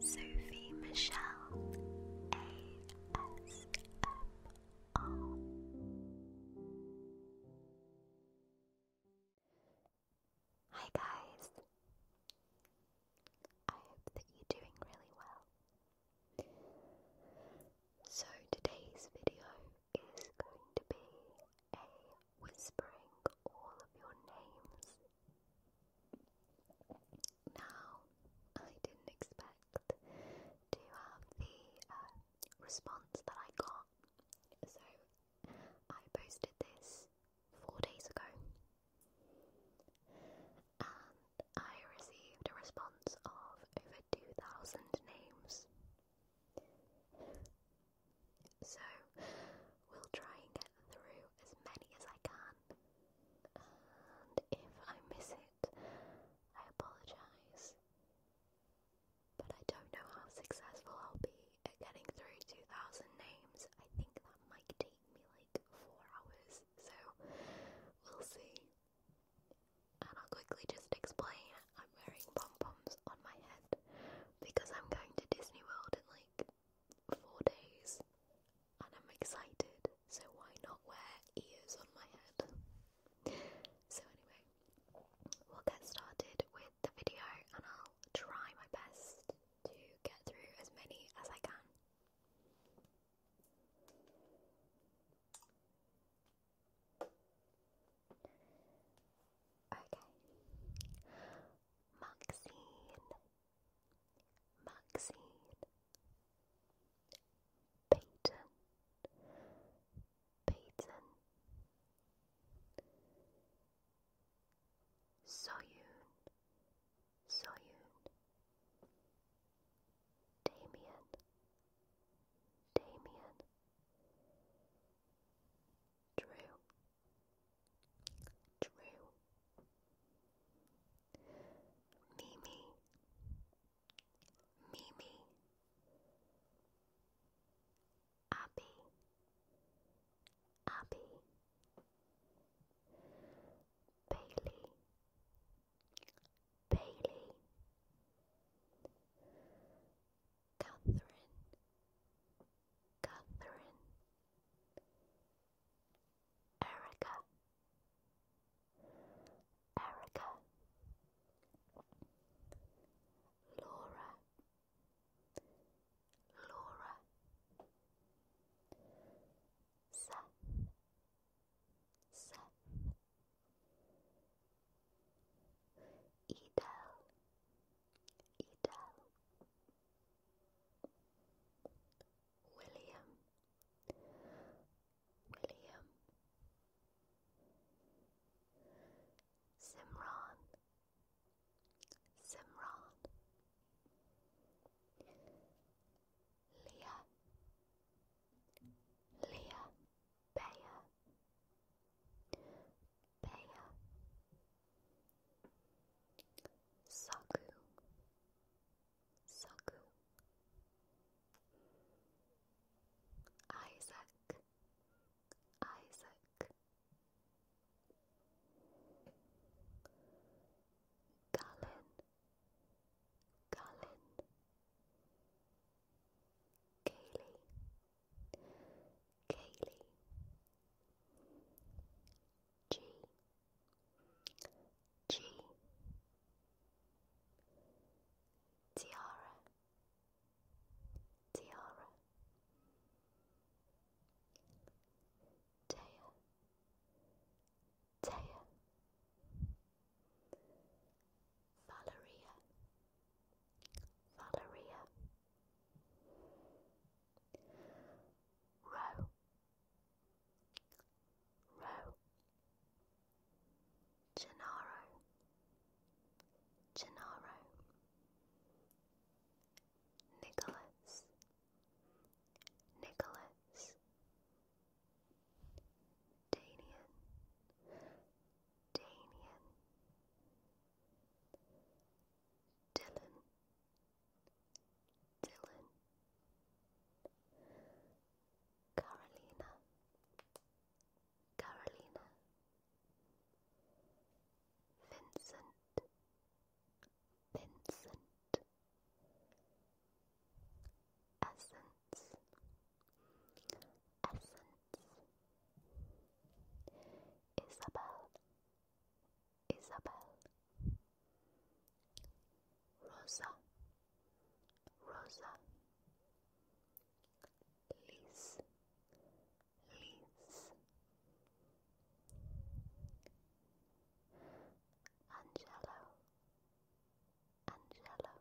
Sophie Michelle ASMR. Hi guys. I hope that you're doing really well. So today's video is going to be a whispering all of your names now, I didn't expect to have the um, response that I got, so I posted this four days ago, and I received a response of over 2,000 names. So we'll try and get through as many as I can. And if I miss it, I apologise. But I don't know how successful I'll be at getting through 2,000 names. I think that might take me like four hours, so we'll see. And I'll quickly just explain I'm wearing pom poms on my head because I'm going to Disney World in like four days and I'm excited, so why not wear ears on my head? So, anyway, we'll get started with the video and I'll try my best to get through as many as I can. Okay. Maxine Maxine, Peyton, Peyton, Soyun, Soyun, Damien, Damien, True. True. Mimi. Mimi. Abby. Abby. Bailey. Bailey. Catherine. Catherine. Erica, Erica, Laura, Laura, Seth, Seth, Edel, Edel. William, William, Simran, Simran, Leah, Leah, Bayer, Bayer. Saku, Saku, Isaac, Isaac, Galen, Galen, Kaylee, Kaylee G G Tiara Tiara Taya Taya Valeria Valeria row, row, Gennaro, Gennaro, Nicholas, Nicholas, Danian, Danian, Dylan. Dylan, Carolina, Carolina, Vincent, Vincent, Essence, Essence, Isabel. Isabel, Rosa, Rosa, Liz, Liz, Angelo, Angelo,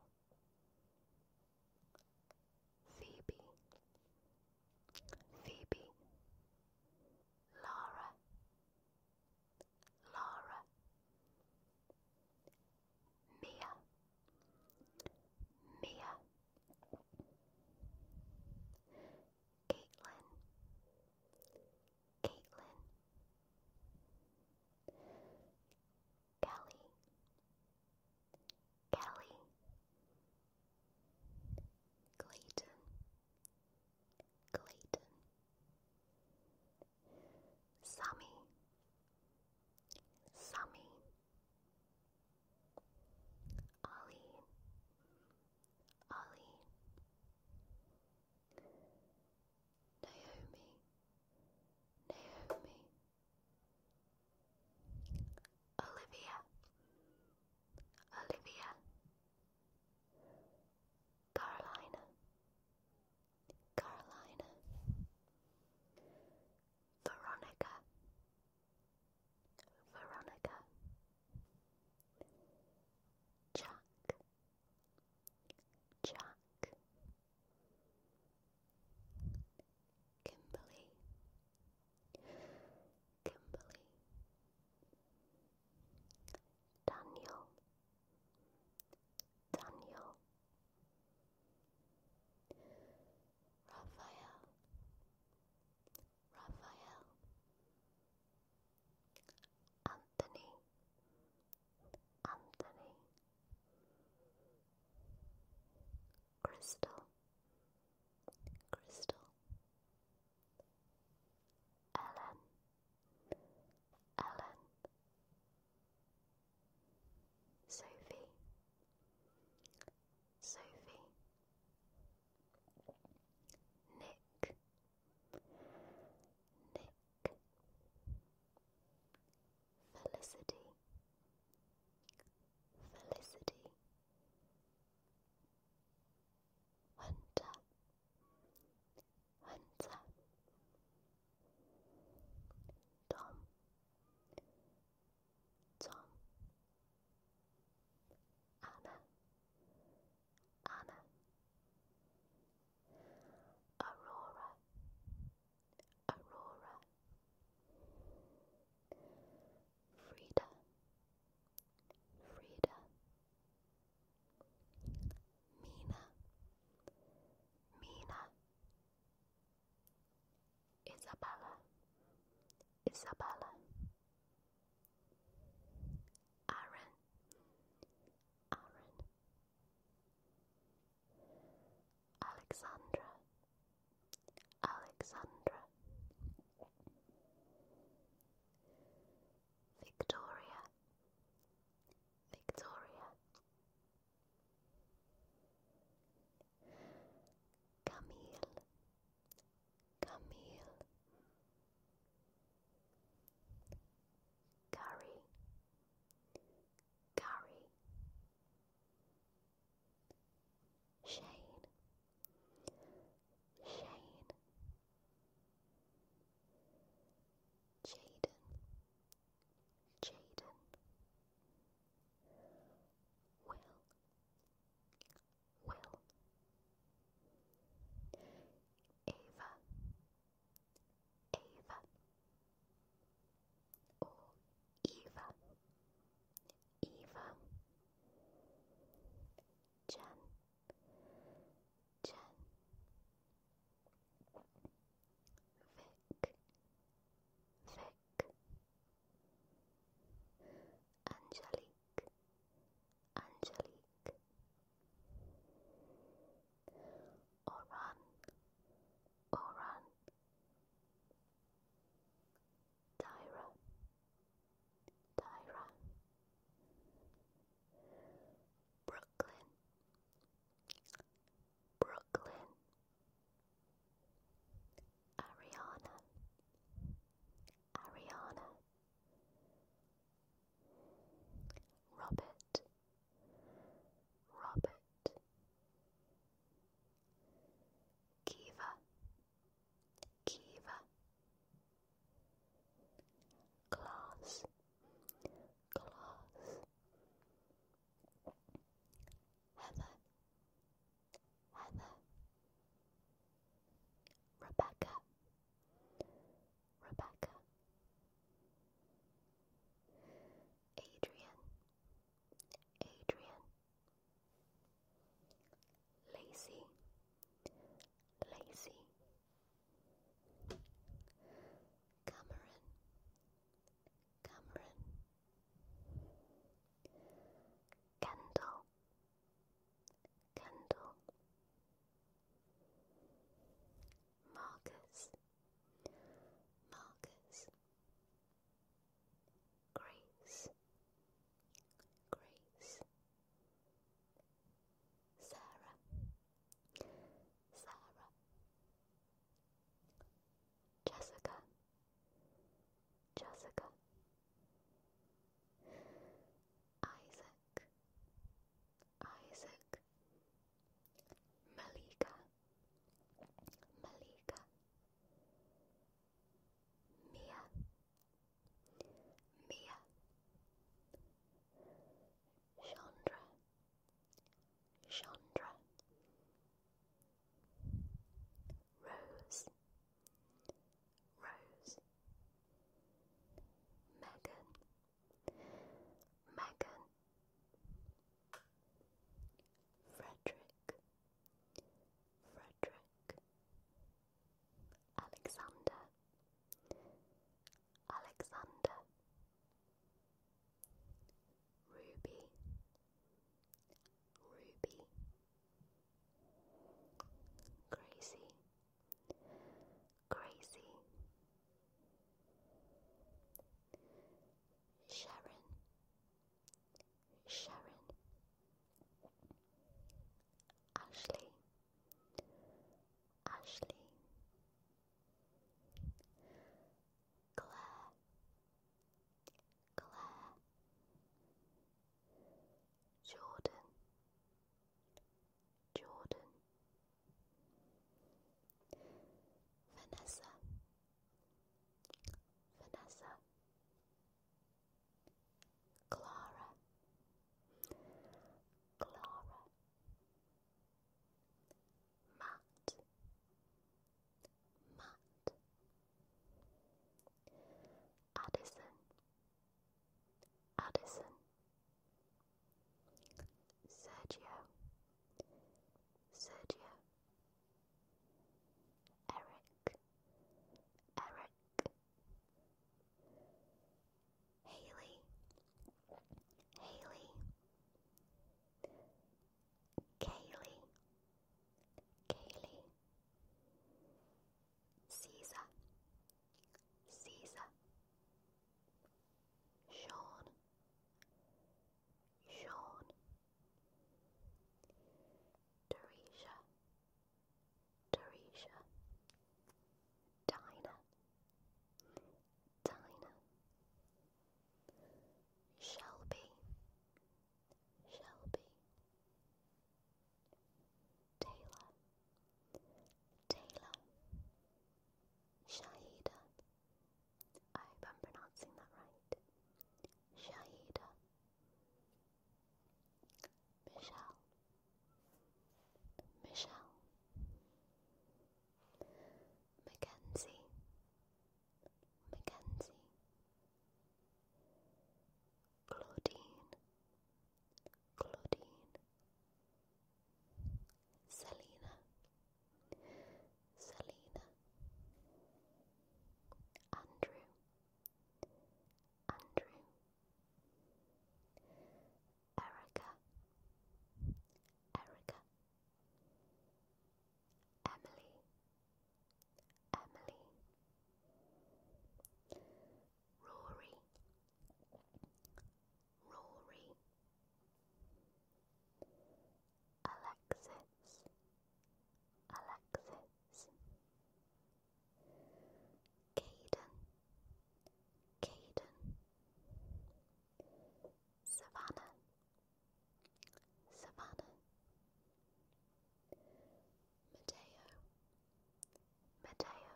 Phoebe, Phoebe, Lara, Lara, Mia, Mia, Caitlin, Caitlin, Kelly, Kelly. Clayton, Clayton, Sammy, Sammy, Ali, Ali, Naomi, Naomi, Olivia, Olivia. Carolina, Carolina, Veronica, Veronica, Jack, Jack, Kimberly, Kimberly, Daniel, Daniel, Raphael, Raphael, Anthony, Anthony, Crystal, Crystal. Ellen, Ellen, Sophie, Sophie, Nick, Nick, Felicity, Felicity. 혼자 혼자 Tom, Tom, Anna, Anna, Aurora, Aurora, Frida, Frida, Mina, Mina, Isabella, Isabella, Aaron, Aaron, Alexandra, Alexandra. Victoria, Victoria. Camille, Camille. Gary, Gary. Shane, Shane, Jaden, Jaden, Will, Will, Ava, Ava, or Eva, Eva. Jen, Jen, Vic, Vic, Angelique, Angelique, Oran, Oran. Tyra, Tyra, Brooklyn, Brooklyn, Ariana, Ariana, Robert, Robert. Kiva, Kiva class, class, Heather Heather Rebecca Rebecca Adrian Adrian Lacy, lazy Cameron Cameron Candle Candle Marcus Marcus grace, grace. Sarah, Sarah, Jessica, Jessica, Isaac, Isaac, Malika, Malika. Mia, Mia, Chandra, Chandra, Rose, Rose, Megan, Megan, Frederick, Frederick. Frederick, Alexander, Alexander, Ruby, Ruby, Crazy, Crazy, Sharon, Sharon, Ashley, Ashley, Claire, Claire, Jordan, Jordan, Vanessa, Vanessa. Clara, Clara, Matt, Matt, Addison, Addison, Sergio, Sergio. Eric, Eric, Haley, Haley, Kaylee, Kaylee, Caesar, Caesar, Sean, Sean, Dorisha, Teresa, Dina, Dinah, Shelby, Shelby, Taylor, Taylor, Shahida. I hope I'm pronouncing that right. Shahida, Michelle, Michelle, Mackenzie, Mackenzie, Claudine, Claudine, Selena, Selena, Andrew, Andrew, Erica, Erica, Emily, Emily, Rory, Rory, Alexis, Alexis. Caden, Caden, Savannah, Savannah, Mateo, Mateo,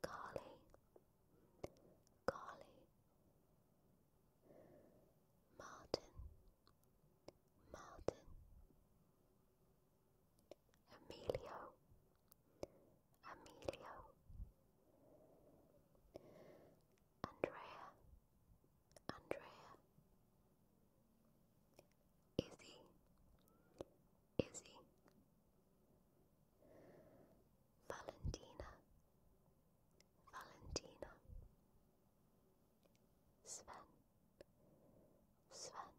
Carly, Carly, Martin. Martin, Emilio, Emilio, Andrea, Andrea, Izzy, Izzy, Valentina, Valentina. Sven, Sven,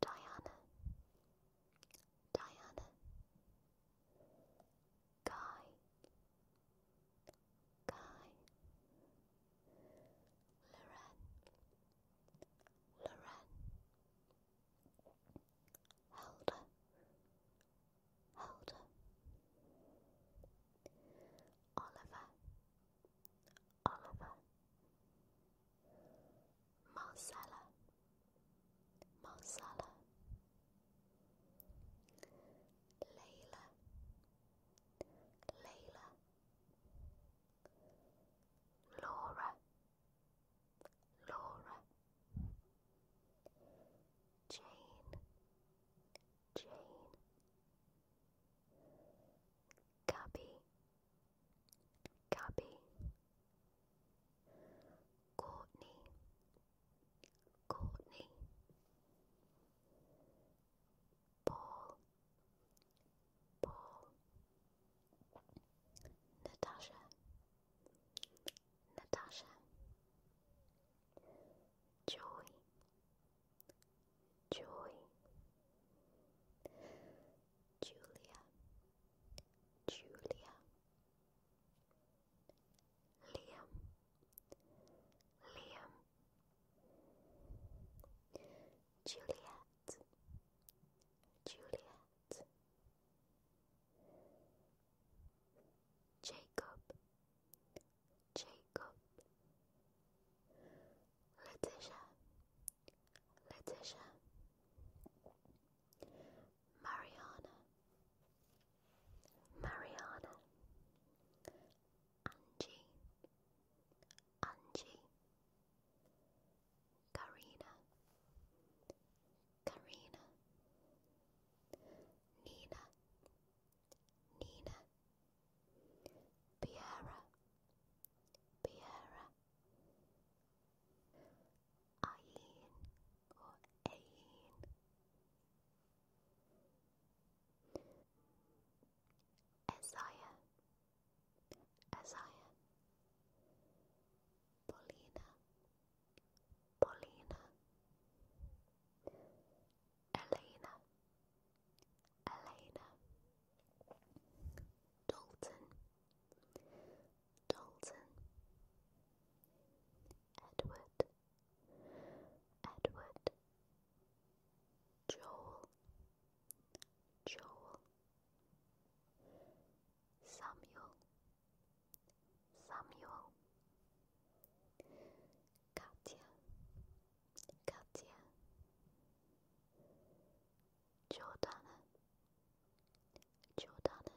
Diana, Diana, Guy, Guy, Loren, Loren, Helda, Holder, Oliver, Oliver, Marcella, Marcella, Layla, Layla, Laura, Laura, Jane. Jane, Gabby, Gabby, Courtney, Courtney, Paul, Paul, Natasha, Natasha joy, joy, Julia, Julia, Liam, Liam, Juliet, Juliet. Jacob, Jacob, Letitia, Letitia, Mariana, Mariana, Angie, Angie, Karina, Karina, Nina, Nina, Piera, Piera, Aine or Aine, Isaiah, Isaiah, Polina, Paulina. Elena, Elena, Dalton, Dalton, Edward, Edward, Joel, Joel, Samuel, Samuel, Katya, Katya, Jordana, Jordana,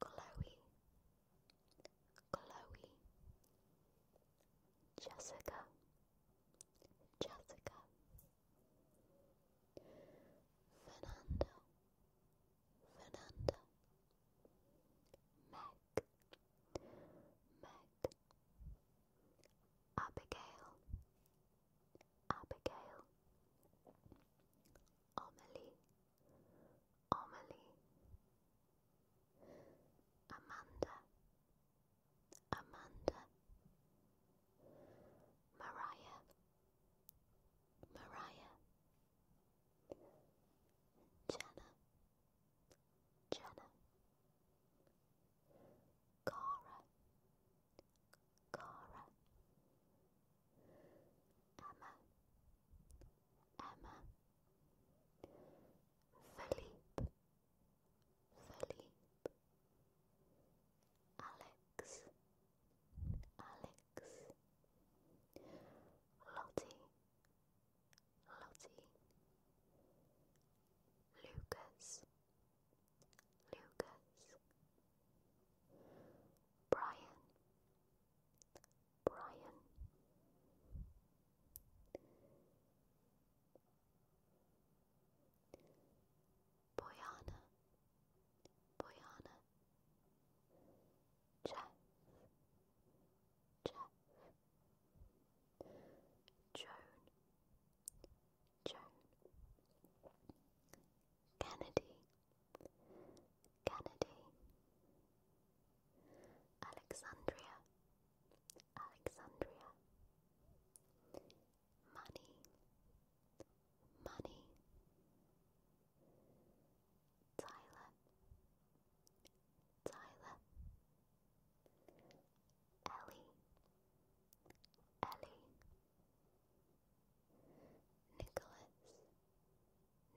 Chloe, Chloe, Jessica, Jessica, Fernando, Fernanda, Meg, Meg, Abigail, Abigail, Amelie, Amelie, Amanda, Amanda, Mariah, Mariah, Jenna, Jenna, Cara, Cara, Emma, Emma, Philippe, Philippe, Alex, Alex. Lottie, Lottie, Lucas, Lucas, Brian, Brian, Boyana, Boyana, Jeff, Jeff, Joan, Joan, Kennedy, Kennedy, Alexandria, Alexandria, money, money, Tyler, Tyler, Ellie, Ellie,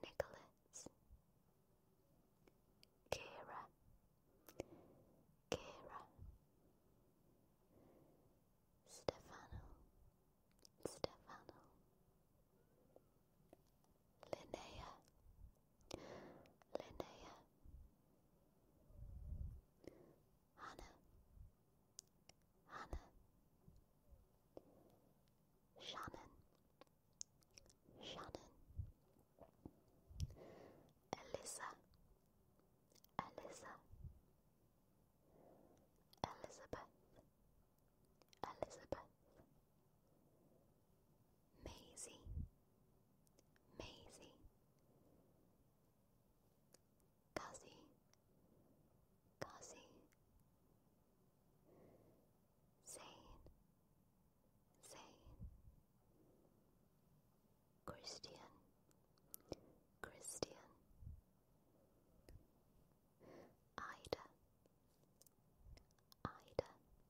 Nicholas, Nicholas, Kira, Kira, Stefano, Stephanie, Linnea, Linnea, Hannah, Hannah, Shannon, Shannon, Elisa, Elisa, Elizabeth, Elizabeth, Maisie, Maisie, Gussie, Gussie, Zane, Zane, Christian, Christian. Ida, Ida, Dennis,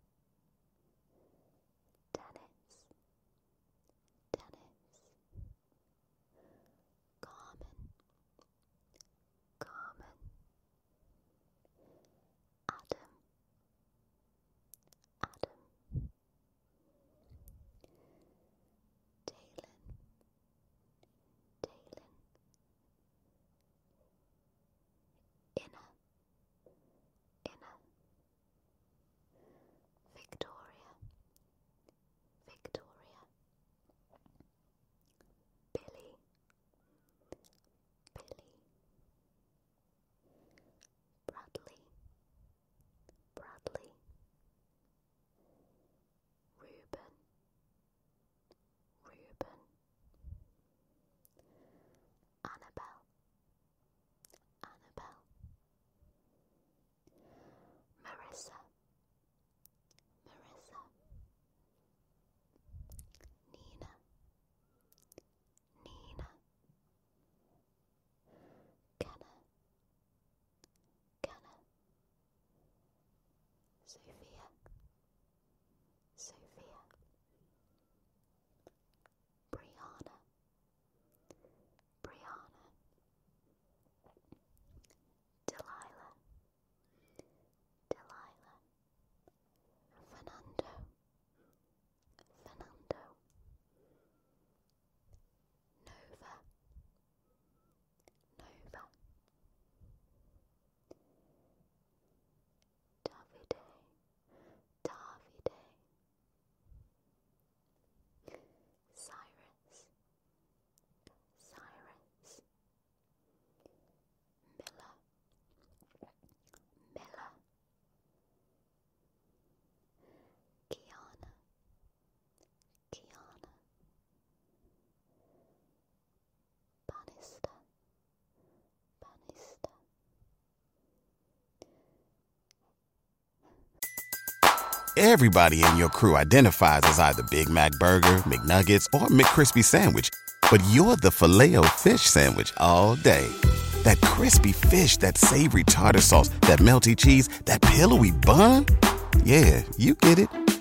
Dennis, Common, Common, Adam, Adam, Dalen, Dalen, Inna, Inna, Victoria, Victoria, Billy, Billy, Bradley, Bradley. Reuben, Reuben, Annabelle, Annabelle, Marissa, Marissa, Nina, Nina, Kenna, Kenna. Sophia, Sophia, Brianna, Brianna, Delilah, Delilah, Fernando, Fernando, Nova, Nova Davide Davide Cyrus Cyrus Miller Miller Kiana Kiana Everybody in your crew identifies as either Big Mac Burger, McNuggets, or McCrispy Sandwich, but you're the filet o fish Sandwich all day. That crispy fish, that savory tartar sauce, that melty cheese, that pillowy bun. Yeah, you get it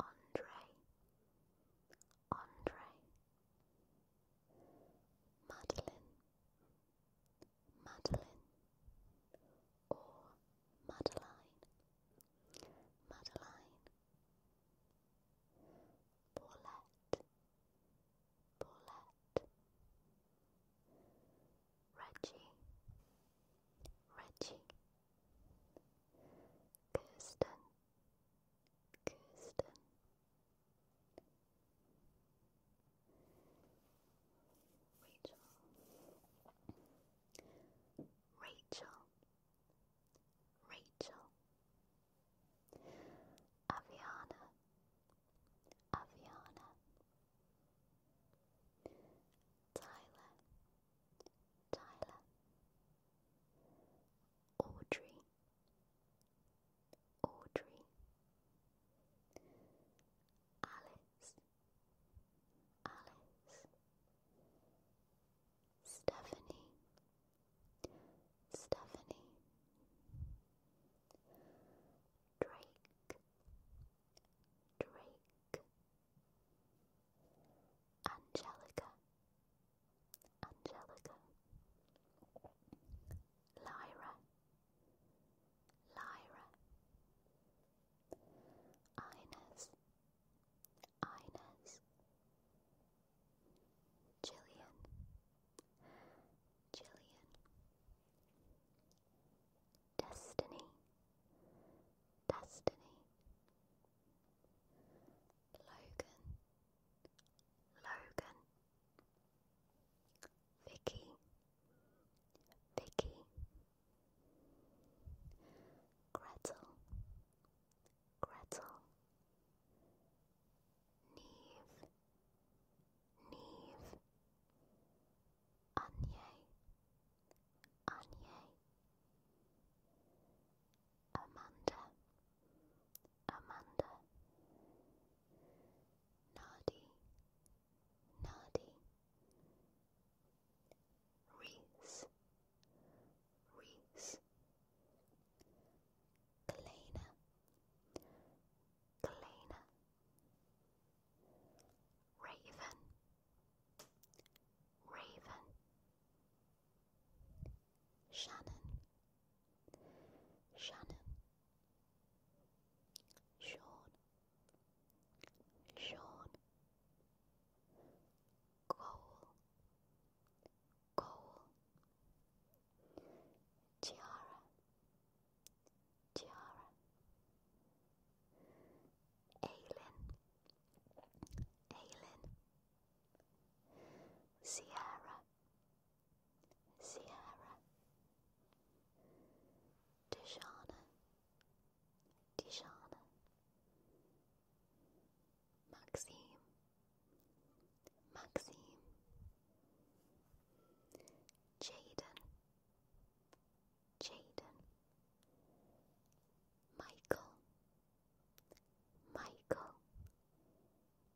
Andre, Andre, Madeline, Madeline, or Madeline, Madeline, Paulette, Paulette, Reggie, Reggie. Kirsten, Kirsten Rachel Rachel Rachel Aviana Aviana Tyler Tyler, Audrey, Audrey, Alice, Alice, Stephanie, Stephanie, Drake, Drake. Angelica, Angelica, Lyra, Lyra, Ines, Ines, Jillian, Jillian, Destiny, Destiny. Logan, Logan, Vicky, Vicky, Gretel, Gretel, Neve, Neve, Anye, Anye, Amanda, Amanda, Naughty, Naughty, Reese, Reese, Kalena, Kalena, Raven, Raven. Shannon, Shannon, Sean, Sean, Cole, Cole, Tiara, Tiara, Aylin, Aylin. Sierra, Sierra, Tishana, Tishana, Maxime, Maxime, Jaden, Jaden, Michael, Michael,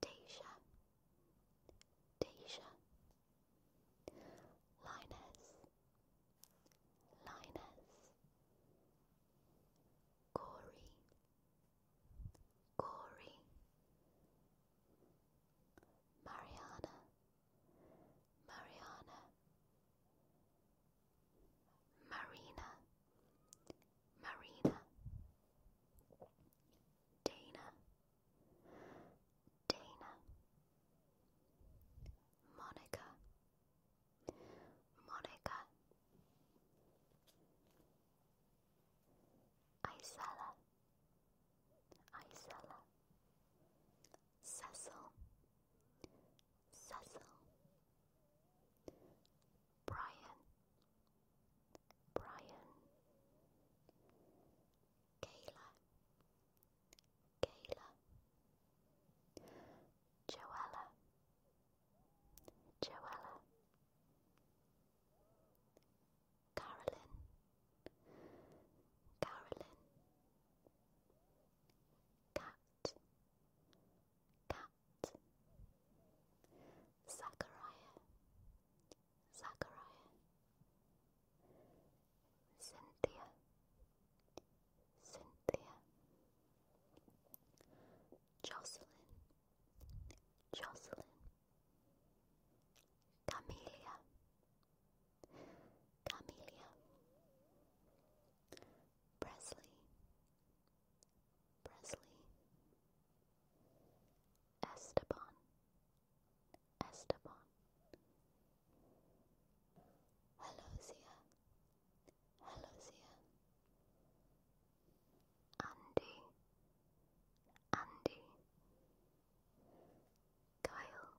Deja, Deja, Linus, Linus, Corey, Corey, Mariana, Mariana, Marina, Marina, Dana, Dana, Monica, Monica, Isella, Isella, Cecil, Cecil, Brian, Brian, Kayla, Kayla, Joella, Joella, Carolyn, Carolyn, Cat cat, Zachariah, Zachariah, Cynthia, Cynthia, Jocelyn, Jocelyn, Camelia, Camelia, Presley, Presley, Esteban, Esteban, Helosia, Helosia, Andy, Andy, Kyle, Kyle.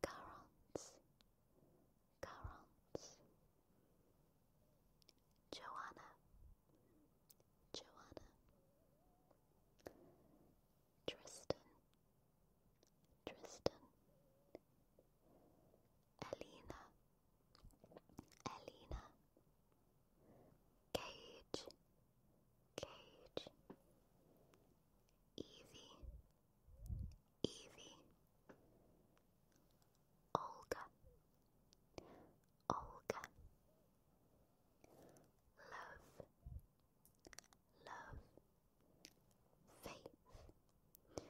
Garance, Garance, Joanna, Joanna, Tristan, Tristan, Elena, Elena, Cage. Cage, Evie, Evie, Olga, Olga, Love, Love, Faith, Faith,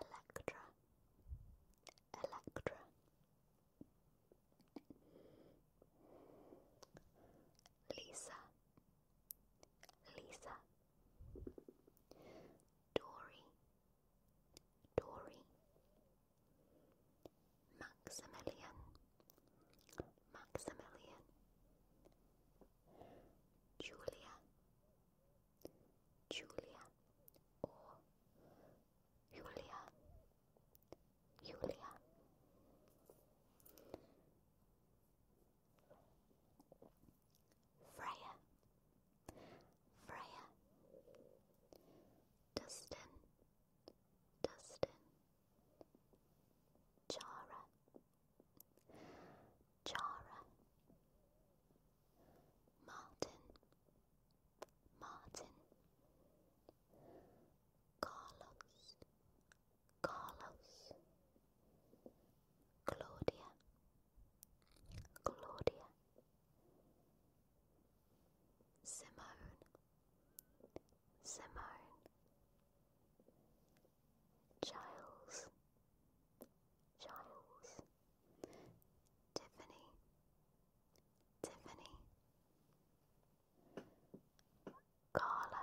Electra, Electra. Lisa, Lisa, Dory, Dory, Maximilian, Maximilian, Julia, Julia, or Julia, Julia. Freya. Freya. Dustin. Dustin. Chara. Chara. Martin. Martin, Carlos, Carlos, Claudia, Claudia, Simone, Simone, Giles, Giles, Tiffany, Tiffany, Carla,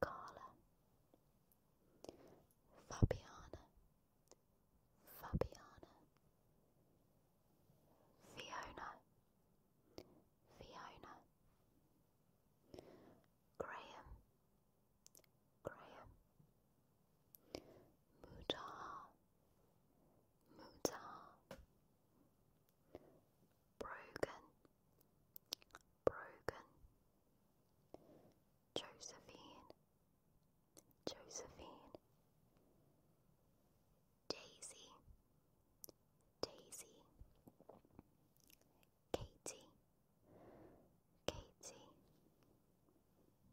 Carla, Fabiana, Fabiana, Fiona, Fiona, Graham, Graham, Mutaha, Mutar Brogan Brogan Josephine Josephine Daisy Daisy Katie Katie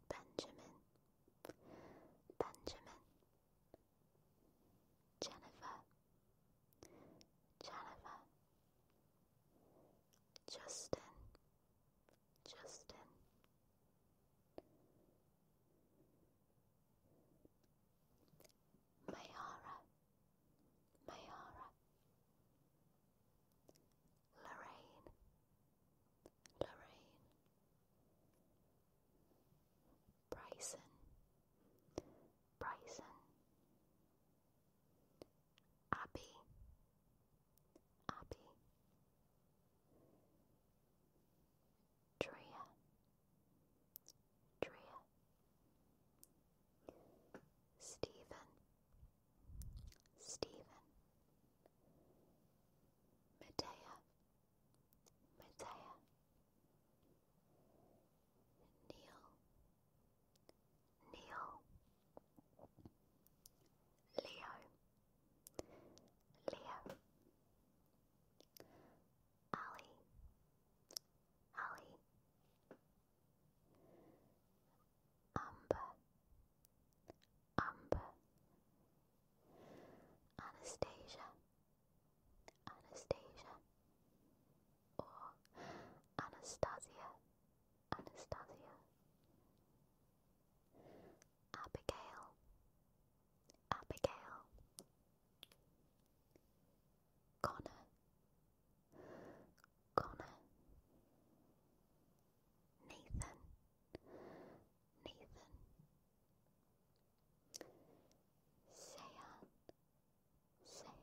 Benjamin Benjamin Jennifer, Jennifer, Justin, Justin, Mayara, Mayara, Lorraine, Lorraine. Bryson, Bryson, Abby, Abby, Drea, Drea, Stephen, Stephen, Medea. Matthiah, Neil, Neil, Leo, Leo, Ali, Ali, Amber, Amber, Anastasia, Anastasia, or Anastasia, Anastasia. Abigail, Abigail. Connor, Connor. Nathan, Nathan. Seyan, Seyan,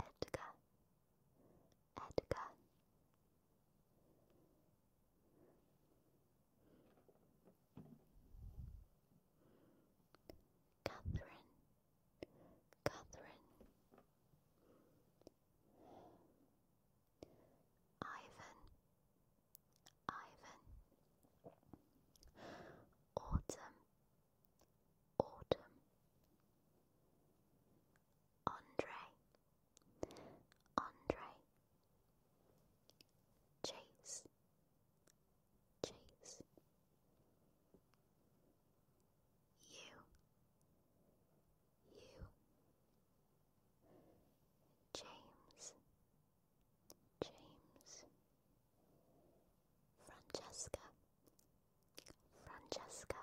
Edgar, Edgar. Catherine, Catherine, Ivan, Ivan. Autumn, Autumn. Andre, Andre. Chase, Chase. You, you, James, James, Francesca, Francesca,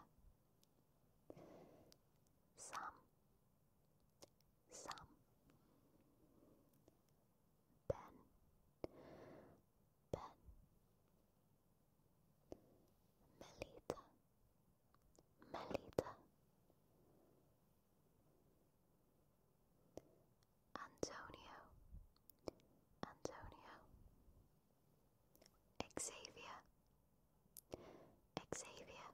Sam, Sam, Ben, Ben. Melita, Melita, Antonio, Antonio, Xavier, Xavier,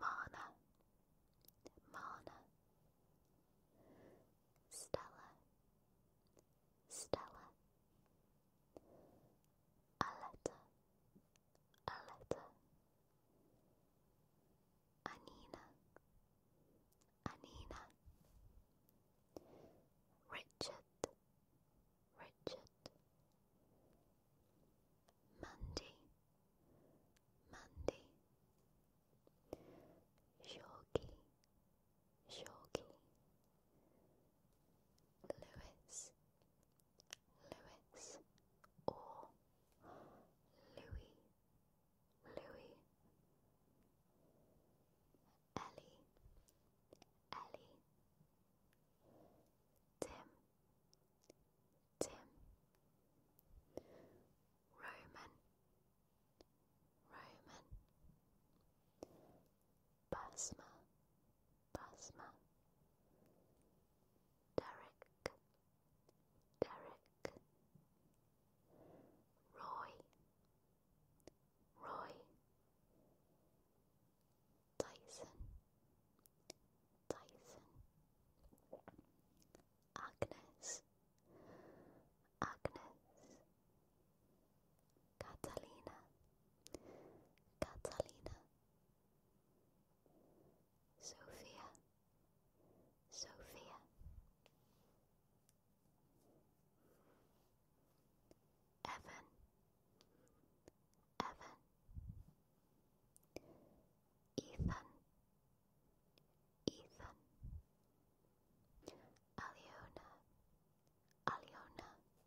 Mana, Mana, Stella, Stella. Aletta, Aletta, Anina, Anina, Richard, Richard, Mandy, Mandy, Shoki. Shoki. Lewis, Lewis or Louis, Louis, Ellie, Ellie, Tim, Tim, Roman, Roman, Basma, Basma, Derek, Derek, Roy, Roy, Tyson, Tyson, Agnes, Agnes, Catalina, Catalina, Sophia, Sophia, Evan, Evan, Ethan, Ethan, Aliona, Aliona.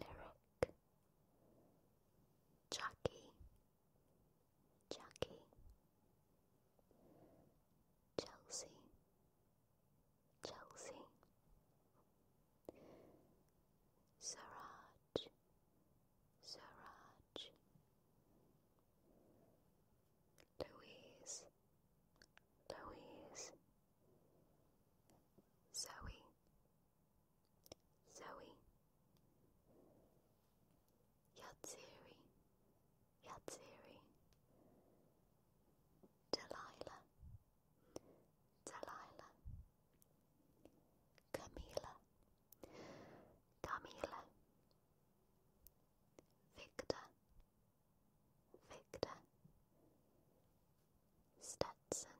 Lyric Jackie Jackie Chelsea Chelsea Suraj Suraj Louise Louise Zoe Zoe, Yatsiri, Yatsiri, Delilah, Delilah, Camila, Camila, Victor, Victor, Stetson.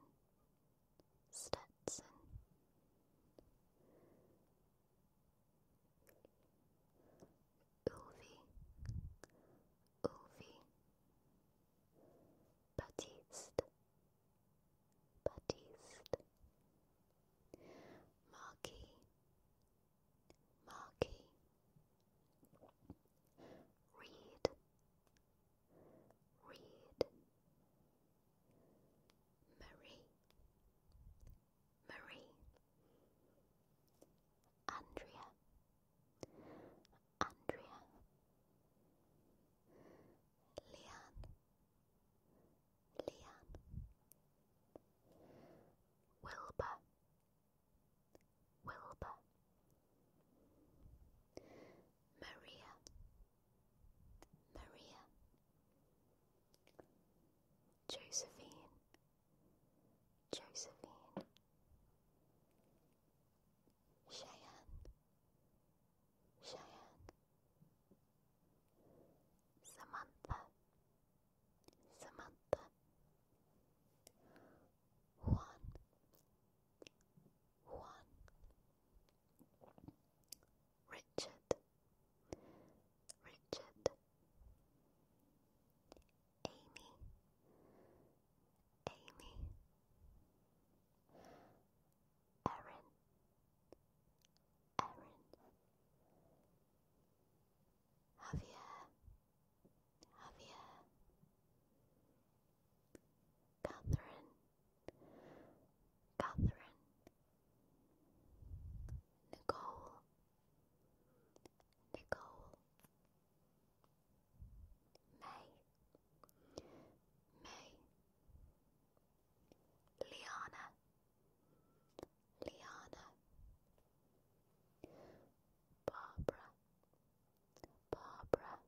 Stetson Ulvi Ulvi Batiste Batiste Marquis Marquis Reed Read. Marie Marie Andrea Andrea Leanne Leanne Wilbur Wilbur Maria, Maria, Josephine, Josephine, Cheyenne, Cheyenne, Samantha, Samantha, Juan, Juan. Richard, Richard, Amy, Amy, Erin, Erin, Javier, Javier, Catherine. Catherine, Nicole, Nicole, May, May, Liana, Liana, Barbara, Barbara,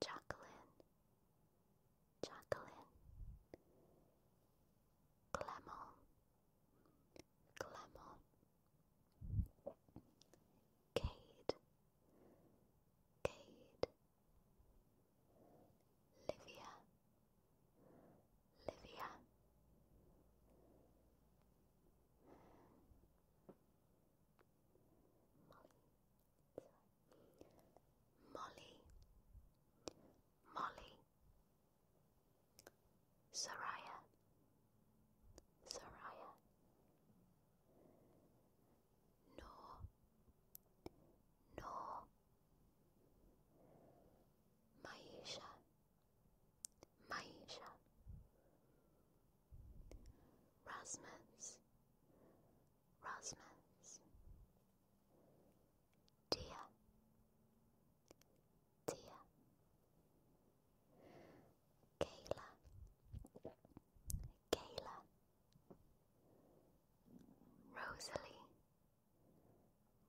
Jacqueline, Jacqueline, Clement, Clement, Cade, Cade, Livia, Livia. Molly, Molly, Soraya, Soraya, No, No, Maisha, Maisha, Rasmus, Rasmus, dear, dear, Kayla, Kayla, Rosalie,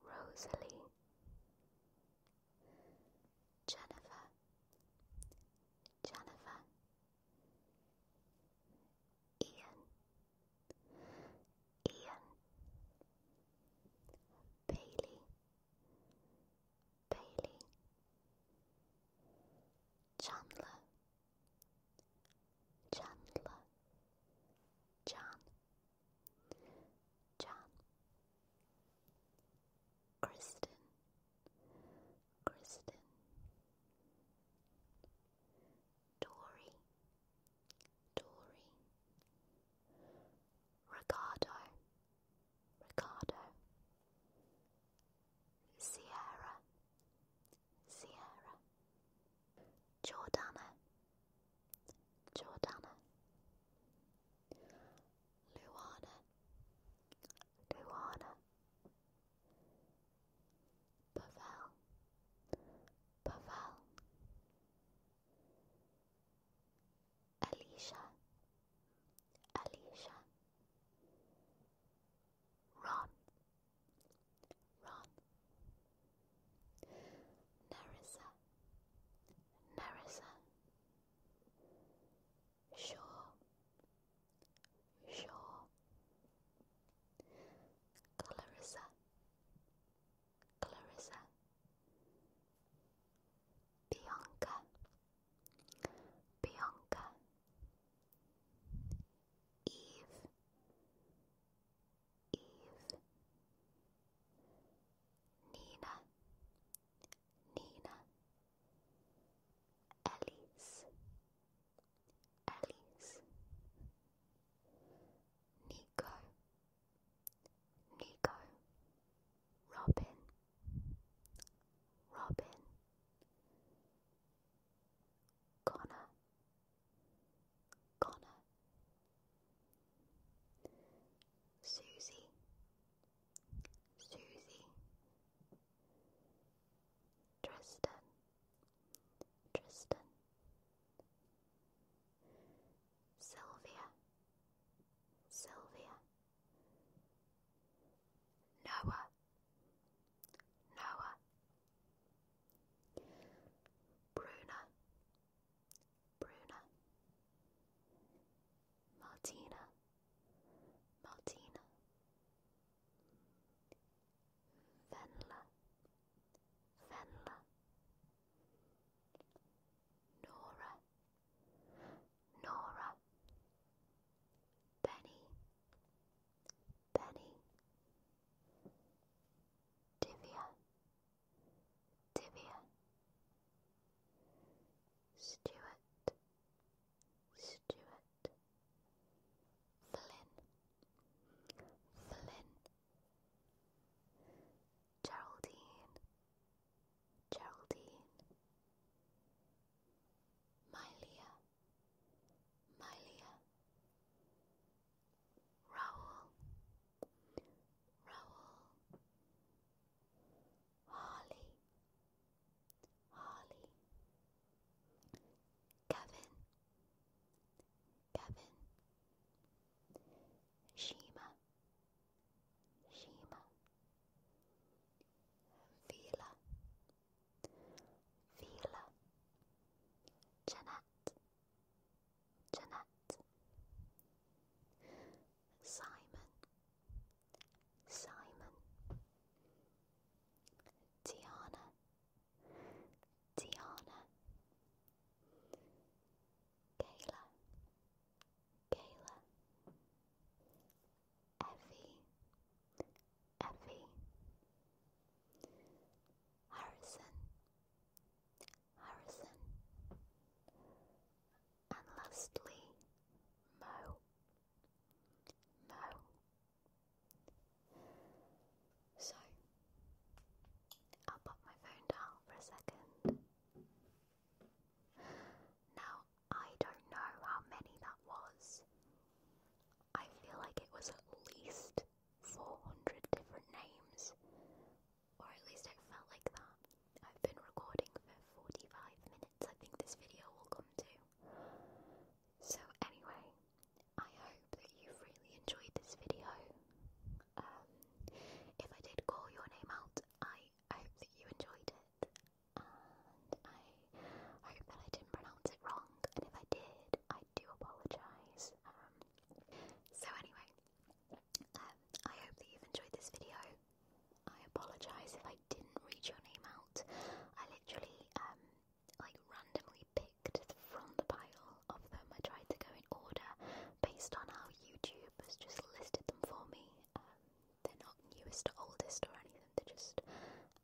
Rosalie, Jennifer, Jennifer, Ian, Ian, Bailey, Bailey, Chandler, Chandler, John, John, Kristen. Kristen, Dory, Dory, Ricardo, Ricardo, Sierra, Sierra, Jordana, Jordana, Luana, Luana, Pavel, Pavel, Alicia, Alicia, Ron, Ron, Narissa, Narissa. Sure, sure. Clarissa, Clarissa. Bianca, Bianca. Eve, Eve. Nina, Nina, Elise, Alice, Nico, Nico, Robin, Robin, Connor, Connor, Susie, Susie, Tristan, Tristan, Sylvia, Sylvia, Noah, Noah, Bruna, Bruna, Martina. Martina, Venla, Venla, Nora, Nora, Benny, Benny, Divya, Divya, Stuart. Stewart, Flynn, Flynn, Geraldine, Geraldine, Mylia, Mylia, Raoul, Raoul, Harley, Harley, Kevin, Kevin, Shima, Shima, Vila, Vila, Jeanette, Jeanette, Simon. Simon, Tiana, Tiana, Kayla, Kayla, Effie, Effie, Harrison, Harrison, and lastly, Mo. Mo. So, I'll pop my phone down for a second. Now, I don't know how many that was. I feel like it was at least 400 different names, or at least it felt like that. I've been recording for 45 minutes. I think this video will come to. So anyway, I hope that you've really enjoyed this video. Um, if I did call your name out, I, hope that you enjoyed it. And I hope that I didn't pronounce it wrong. And if I did, I do apologise. Um, so anyway, um, I hope that you've enjoyed this video. I apologise if I didn't read your name out. I literally um like randomly picked from the pile of them. I tried to go in order based on how YouTube has just listed them for me. Um, they're not newest oldest or anything. They're just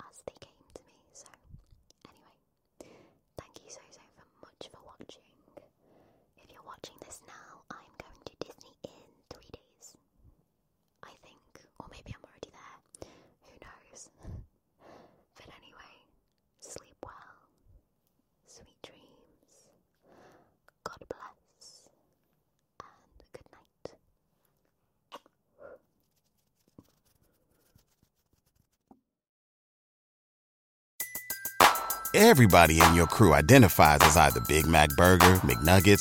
as they came to me. So anyway, thank you so so much for watching. If you're watching this now, I'm going to Disney in three days. I think, or maybe I'm already there. Who knows? but anyway, sleep well. Sweet dreams. God bless. And good night. Everybody in your crew identifies as either Big Mac Burger, McNuggets,